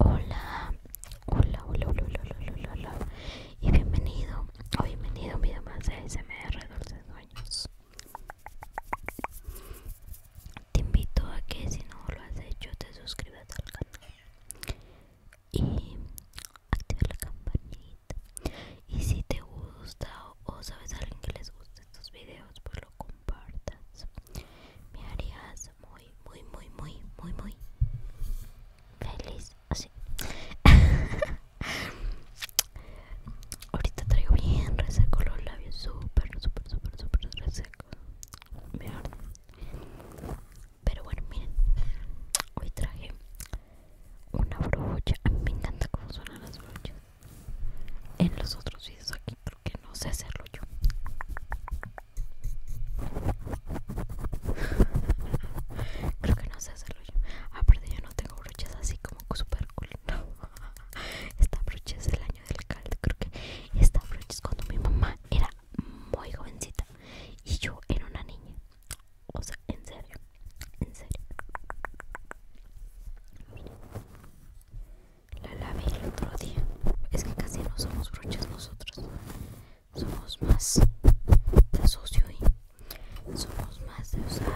Hola, hola, hola, hola, hola, hola, hola, y bienvenido o bienvenido a un video más de ASMR de Sueños. Te invito a que si no lo has hecho te suscribas al canal y actives la campanita. Y si te gusta o sabes a alguien que les guste estos videos pues lo compartas me harías muy muy muy muy muy muy feliz así ahorita traigo bien reseco los labios súper súper súper súper reseco pero bueno miren hoy traje una brocha a mí me encanta cómo suenan las brochas en los otros videos aquí Creo que no sé hacerlo yo creo que no sé hacerlo yo aparte yo no tengo brochas así como super cool esta brocha es el año del caldo creo que esta brocha es cuando mi mamá era muy jovencita y yo era una niña o sea en serio en serio. La lavé el otro día. Es que casi no somos brochas nosotros. Somos más de socio y somos más de usar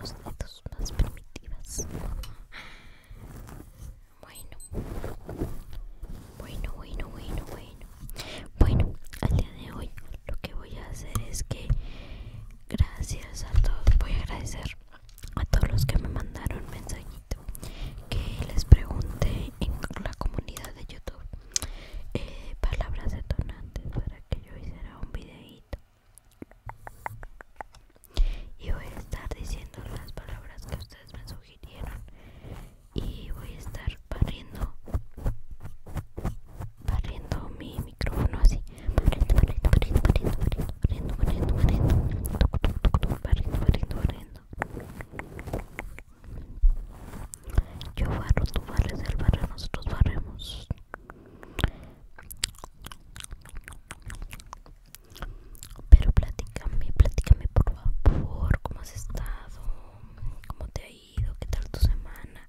los dedos más primitivos Bueno, bueno, bueno, bueno, bueno. Bueno, al día de hoy lo que voy a hacer es que gracias a todos voy a agradecer a todos los que me mandaron mensajito que les pregunte en la comunidad de youtube eh, palabras detonantes para que yo hiciera un videito y voy a estar diciendo las palabras que ustedes me sugirieron y voy a estar barriendo mi micrófono así barriendo, barriendo, barriendo, barriendo, barriendo, barriendo, barriendo, barriendo, barriendo, barriendo yo barro, tú barres, el barrio nosotros barremos pero platicame, platicame por favor, cómo has estado, cómo te ha ido, qué tal tu semana,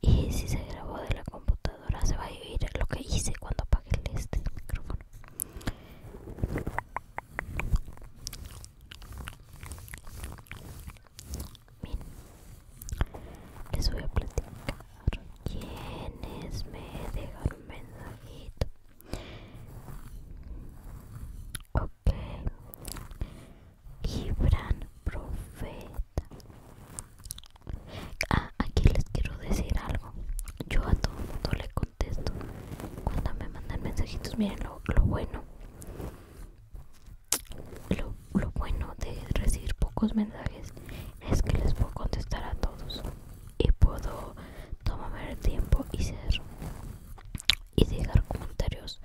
y si se grabó de la computadora se va a vivir lo que hice cuando apague este micrófono Bien, les voy a platicar quienes me dejan un mensajito. Ok, Gibran Profeta. Ah, aquí les quiero decir algo. Yo a todo le contesto. Cuando me mandan mensajitos, miren lo, bueno. Lo, lo bueno de recibir pocos mensajes es que les puedo contestar a todos y puedo tomarme el tiempo y ser y dejar comentarios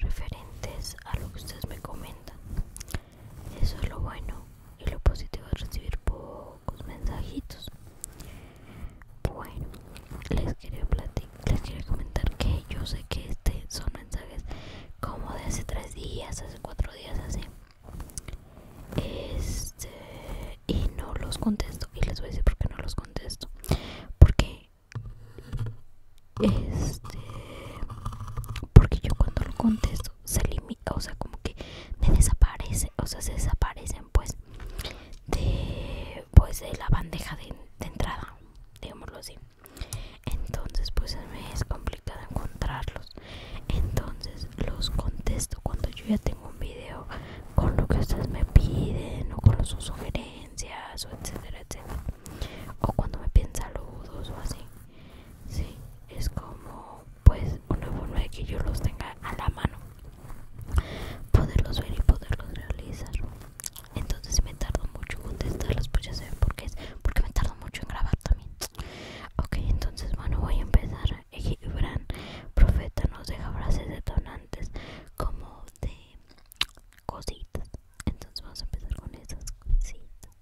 referentes a lo que ustedes me comentan eso es lo bueno y lo positivo de recibir pocos mensajitos. Bueno, les quería, les quería comentar que yo sé que este son mensajes como de hace tres días, hace cuatro días, así. Este, y no los contesto. Y les voy a decir por qué no los contesto. Porque este porque yo cuando lo contesto se limita o sea como que me desaparece o sea se desaparecen pues de pues de la bandeja de, entrada digámoslo así entonces pues me es complicado encontrarlos entonces los contesto cuando yo ya tengo un video con lo que ustedes me piden o con sus sugerencias o etcétera etcétera o cuando me piden saludos o así sí, es como pues una forma de que yo los tenga a la mano poderlos ver y poderlos realizar entonces me tardo mucho en contestarlos pues ya saben por qué es porque me tardo mucho en grabar también ok entonces bueno voy a empezar Gibran profeta nos deja frases detonantes como de cositas entonces vamos a empezar con esas cositas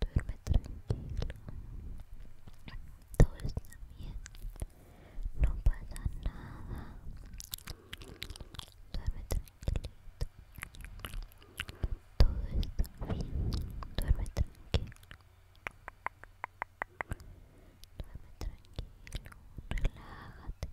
Duerme tranquilo. Todo está bien. No pasa nada. Duerme tranquilito. Todo está bien. Duerme tranquilo. Duerme tranquilo. Relájate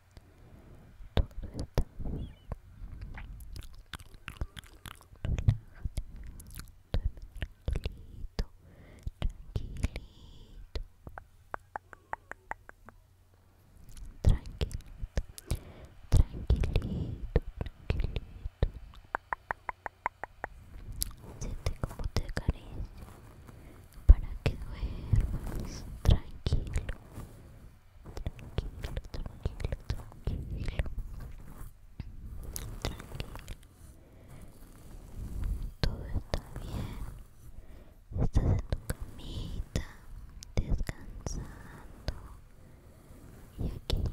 tranquilito tranquilito tranquilito tranquilito siente como te acaricia para que duermas tranquilo, tranquilo, tranquilo, tranquilo, tranquilo. Todo está bien. Estás en tu camita, descansando. Y aquí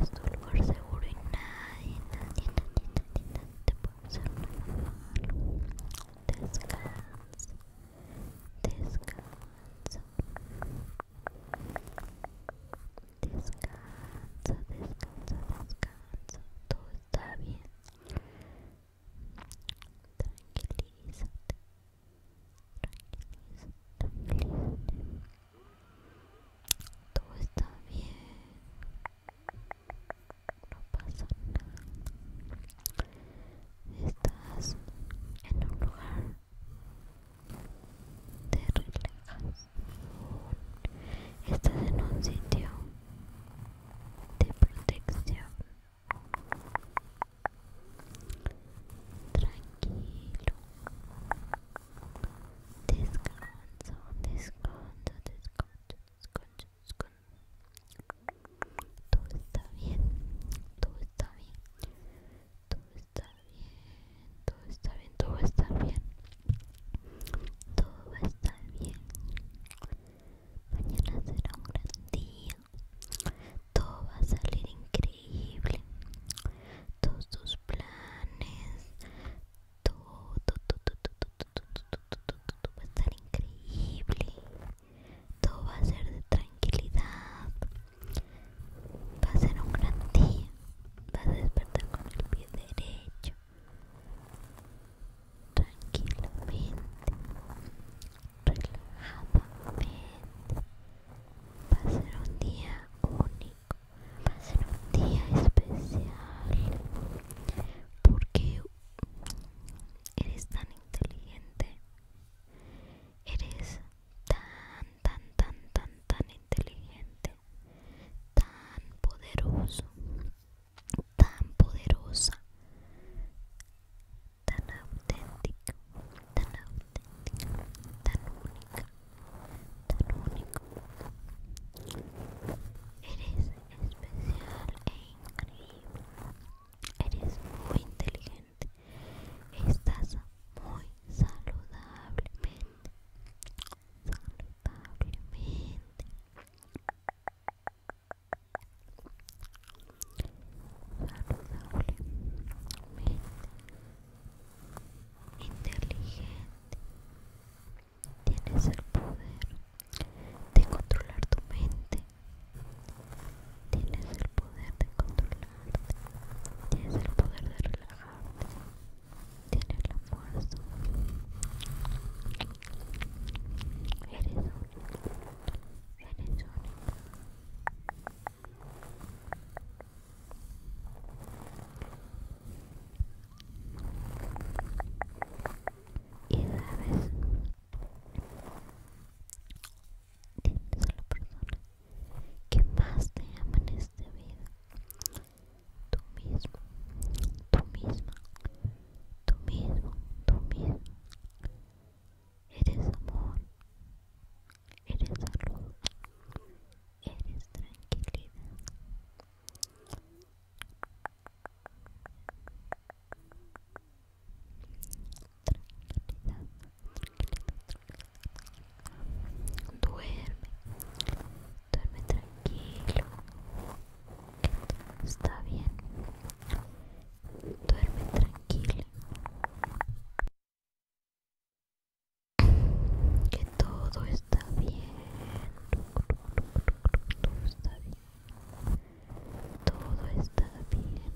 es tu lugar seguro y nadie, nadie, nadie, nadie, te puede hacer nada malo. Descansa. Descansa. Descansa, descansa, descansa. Todo está bien. Tranquilízate. Tranquilízate, tranquilízate. Todo está bien no pasa nada. Estás en un lugar de relajas. Estás en un sitio de protección. Tranquilo. Descanso, descanso, descanso, descanso, descanso, todo está bien, todo está bien, todo está bien, todo está bien, todo va a estar bien, todo va a estar bien. Mañana será un gran día, todo va a salir increíble, todos tus planes, todo, todo va a estar increíble todo va a ser de tranquilidad, va a ser un gran día, vas a despertar con el pie derecho, tranquilamente, relajadamente, va a ser un día único, va a ser un día especial, porque eres tan inteligente Eres tan, tan, tan, tan, tan inteligente, tan poderoso, tan poderosa, tan auténtica, tan auténtica, tan única, tan único. Eres especial e increíble. Eres muy inteligente. Estás muy saludablemente. Saludablemente. Saludablemente. Inteligente. Tienes el poder de controlar tu mente Tienes el poder de controlarte. Tienes el poder de relajarte. Tienes la fuerza. Eres única Eres única Y sabes Tienes a la persona que más te ama en esta vida. Tú mismo, tú misma, tú mismo, tú mismo. Eres amor, eres salud, eres tranquilidad tranquilidad duerme duerme tranquilo está bien duerme tranquilo que todo está bien todo está bien todo está bien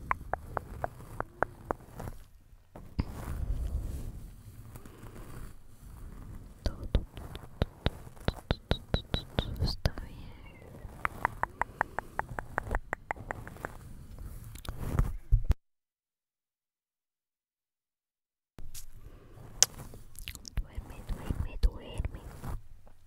todo, todo, todo, todo está bien Duerme, duerme, duerme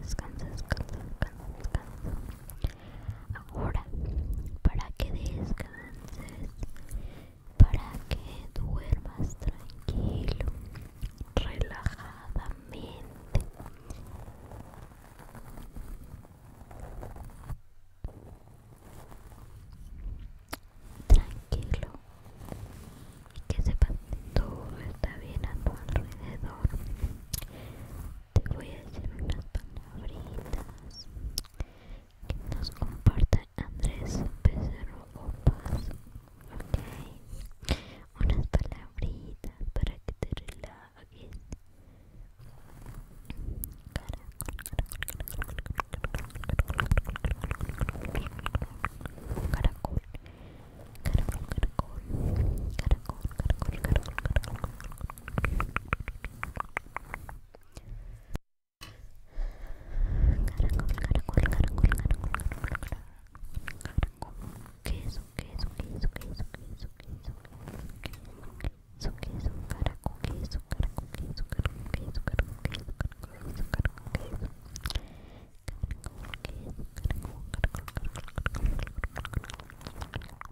descansa, descansa, descansa, descansa. Ahora, para que descanses, para que duermas tranquilo, relajadamente. Tranquilo y que sepas que todo está bien a tu alrededor te voy a decir unas palabritas que nos comparte Andrés o Opas. unas palabritas para que te relajes. Caracol, caracol, Caracol, caracol, caracol, caracol, caracol, caracol. Caracol, caracol, caracol, caracol, caracol. Caracol. Queso, queso, queso, queso, queso, queso. Queso, caracol, queso, caracol, queso, caracol, caracol, queso, caracol, caracol, Caracol, caracol, caracol, caracol, caracol.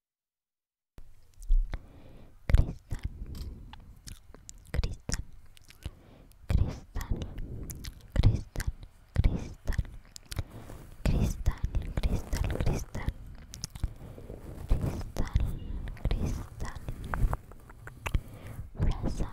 cristal cristal cristal cristal cristal cristal cristal cristal cristal cristal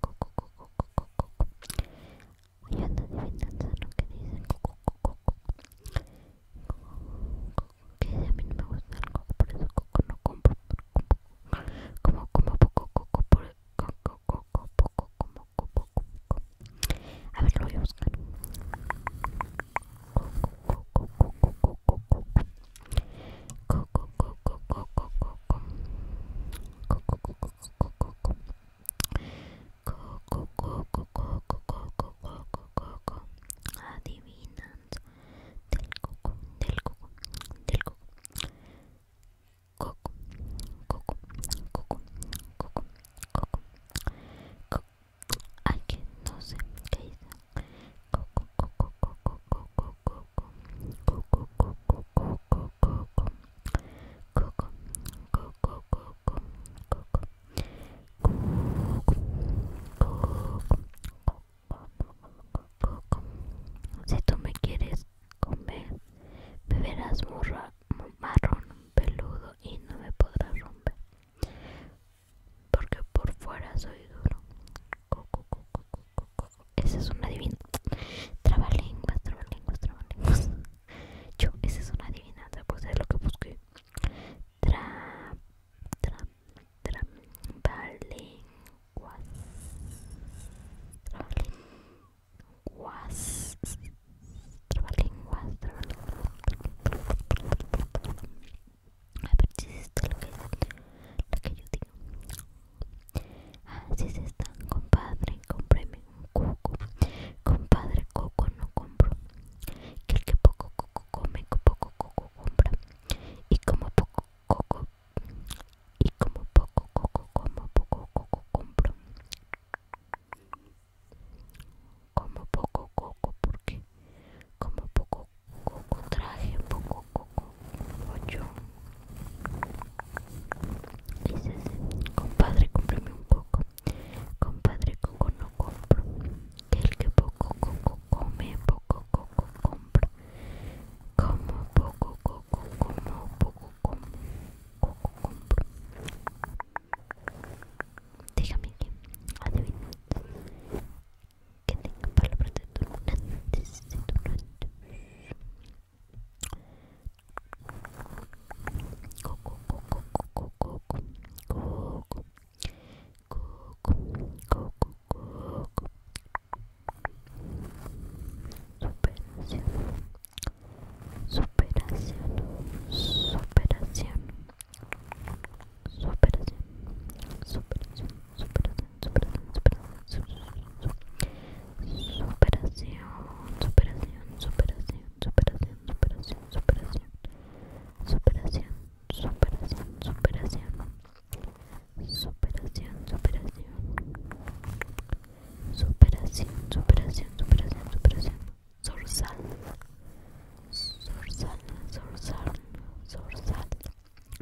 coco coco co lo que dicen coco coco co Que a mí no me gusta el coco, por eso no compro. Como como poco coco, por coco coco como coco A ver, lo voy a buscar. Coco, coco, coco, coco, coco, coco, coco, coco, coco, coco, coco, coco, coco, coco, coco, del coco, del coco, del coco, coco, coco, coco, coco, coco, coco, que no sé qué coco, coco, coco, coco, coco, coco, coco, coco, coco, coco, coco, coco, coco, coco, coco, coco, si tú me quieres comer, beberás morra, marrón, peludo y no me podrás romper, porque por fuera soy duro, ese es una adivino. Trabalenguas, trabalenguas, trabalenguas. Yo, esa es una adivinanza, pues es lo que busqué. Tra, tra, tra, A ver la que yo digo. Así se están, compadre, compréme un coco. Compadre, coco no compro. Que el que poco coco come, poco coco compra. Y como poco coco, y como poco coco como, poco coco compro. Como poco coco, porque como poco coco traje, poco coco ocho ese compadre cómprame un poco compadre coco no compro que el que poco coco come poco coco compro como poco coco como poco coco compro dígame que que tenga palabras de superación superación superación superación superación, superación superación superación superación superación superación superación superación superación superación superación superación superación superación superación superación superación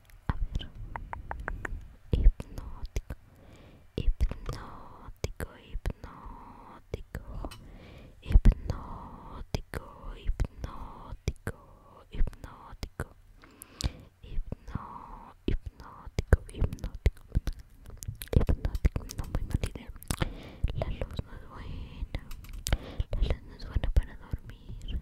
A ver. Hipnótico. Hipnótico, hipnótico. Hipnótico, hipnótico, hipnótico. Hipno, hipnótico, hipnótico. Hipnótico, no muy mal La luz no es buena. La luz no es buena para dormir.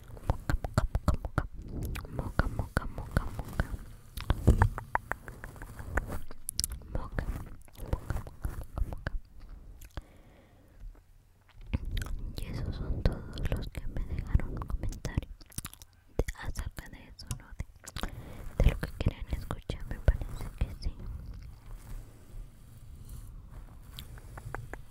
moca, moca, moca, moca, moca, moca, moca, moca, moca, moca, moca, y esos son todos los que me dejaron comentarios de, acerca de eso, ¿no? De, de lo que quieren escuchar, me parece que sí.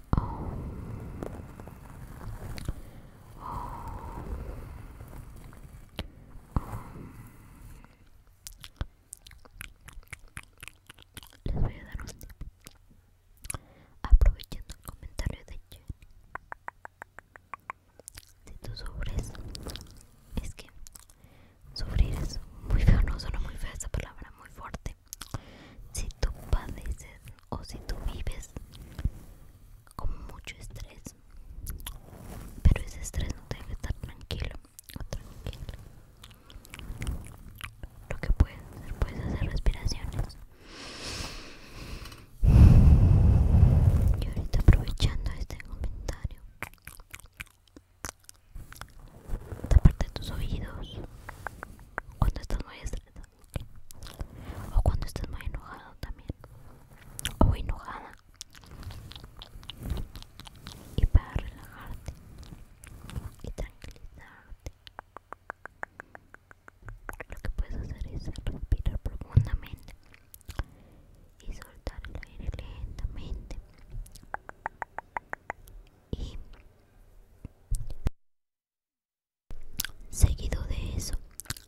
Les voy a dar un tip aprovechando el comentario de Jen. Si tú sufres, es que sufrir es muy feo, no suena muy fea esa palabra, muy fuerte este, si tú padeces o si tú vives con mucho estrés, pero ese estrés no tiene que estar tranquilo tranquilo. Lo que puedes hacer, puedes hacer respiraciones. Y ahorita aprovechando este comentario, de tus oídos cuando estás muy estresado o cuando estás más enojado también o enojada y para relajarte y tranquilizarte lo que puedes hacer es respirar profundamente y soltar el aire lentamente y Seguido de eso,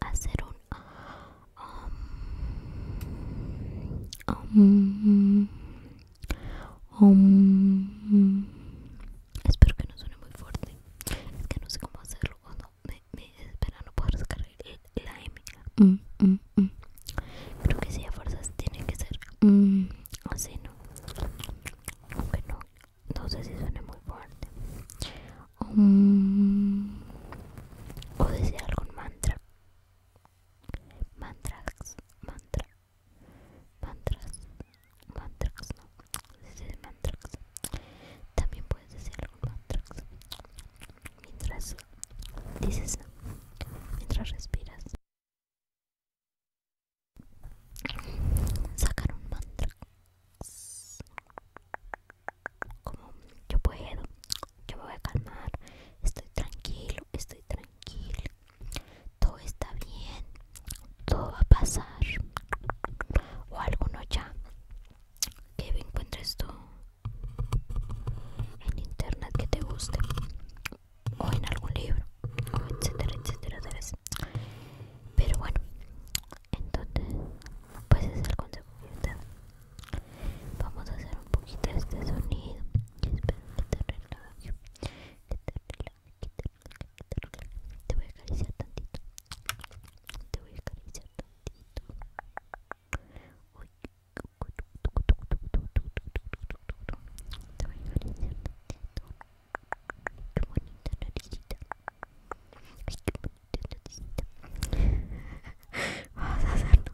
hacer un um, um, um, Espero que no suene muy fuerte. Es que no sé cómo hacerlo cuando me, espera no puedo sacar la M. Mm, mm, mm. Creo que si a fuerzas tiene que ser así, ¿no? Aunque no, no sé si suene muy fuerte um, o decir algún mantra Mantrax mantra mantras Mantrax no mantra. también puedes decir algún mantrax mientras dices mientras respiras sacar un mantra como yo puedo yo me voy a calmar estoy tranquilo estoy tranquilo todo está bien todo va a pasar o alguno ya que encuentres tú en internet que te guste o en algún libro o etcétera etcétera pero bueno entonces pues es el consejo que vamos a hacer un poquito este sonido y espero que te relaje te relaje te relaje te relaje te voy a acariciar tantito te voy a acariciar tantito Uy. te voy a acariciar tantito Qué bonita naricita. Ay, que bonita Vamos a hacerlo.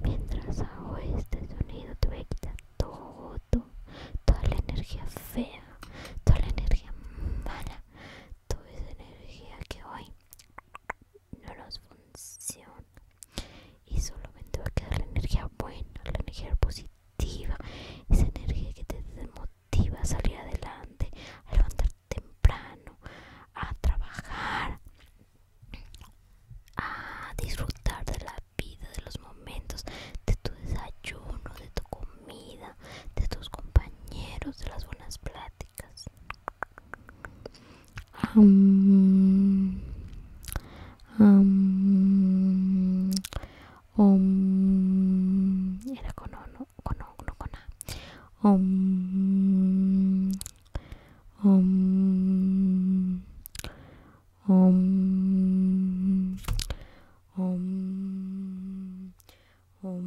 Mientras hago este sonido te voy a quitar todo, toda la energía fea, toda la energía mala, toda esa energía que hoy no nos funciona y solamente va a quedar la energía buena, la energía positiva, esa energía que te motiva a salir adelante, a levantarte temprano, a trabajar, a disfrutar de la vida, de los momentos, de tu desayuno, de tu comida, de tus compañeros, de las buenas simpáticas. Um, um, um, era con O, no con, o, no con A. Um, um, um, um, um, um,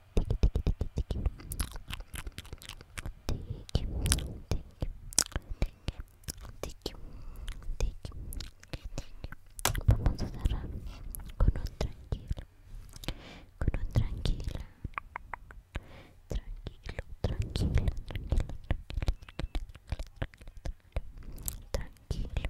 Vamos a cerrar con un tranquilo, con un tranquilo, tranquilo, tranquilo, tranquilo, tranquilo, tranquilo,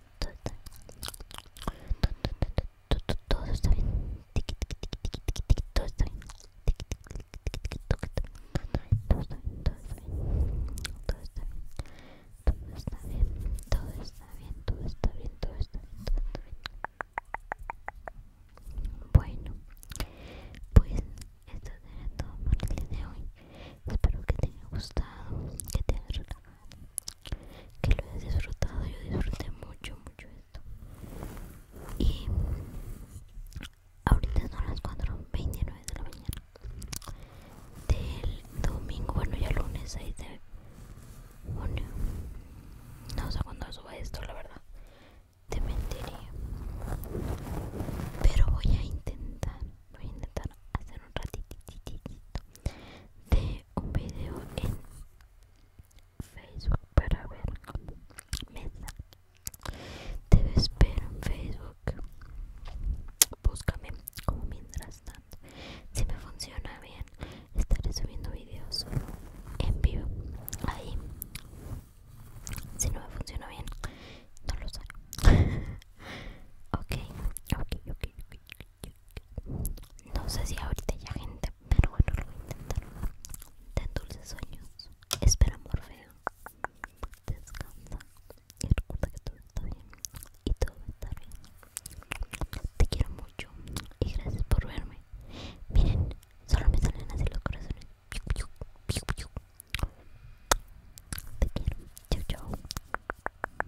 todo está bien, todo está bien, todo está bien, todo está bien, todo está bien, todo está bien, todo está bien, todo está bien, todo está bien, todo está bien. Bueno, pues esto será todo por el día de hoy. Espero que te haya gustado, que te haya relajado que lo he disfrutado yo disfruté mucho mucho esto y ahorita son las 29 de la mañana del domingo bueno ya lunes 6 de junio no sé cuándo suba esto la verdad te mentiría pero voy a intentar voy a intentar hacer un ratito de un video en Facebook para ver mesa te espero en Facebook búscame como mientras tanto si me funciona bien estaré subiendo videos en vivo ahí si no me funciona bien no lo sé ok ok ok ok no sé si ahorita ya gente, pero bueno, lo voy a intentar. Ten dulces sueños. Espera, Morfeo. Descansa y recuerda que todo está bien y todo está bien. Te quiero mucho y gracias por verme. Miren, solo me salen así los corazones. Te quiero. Chau, chau.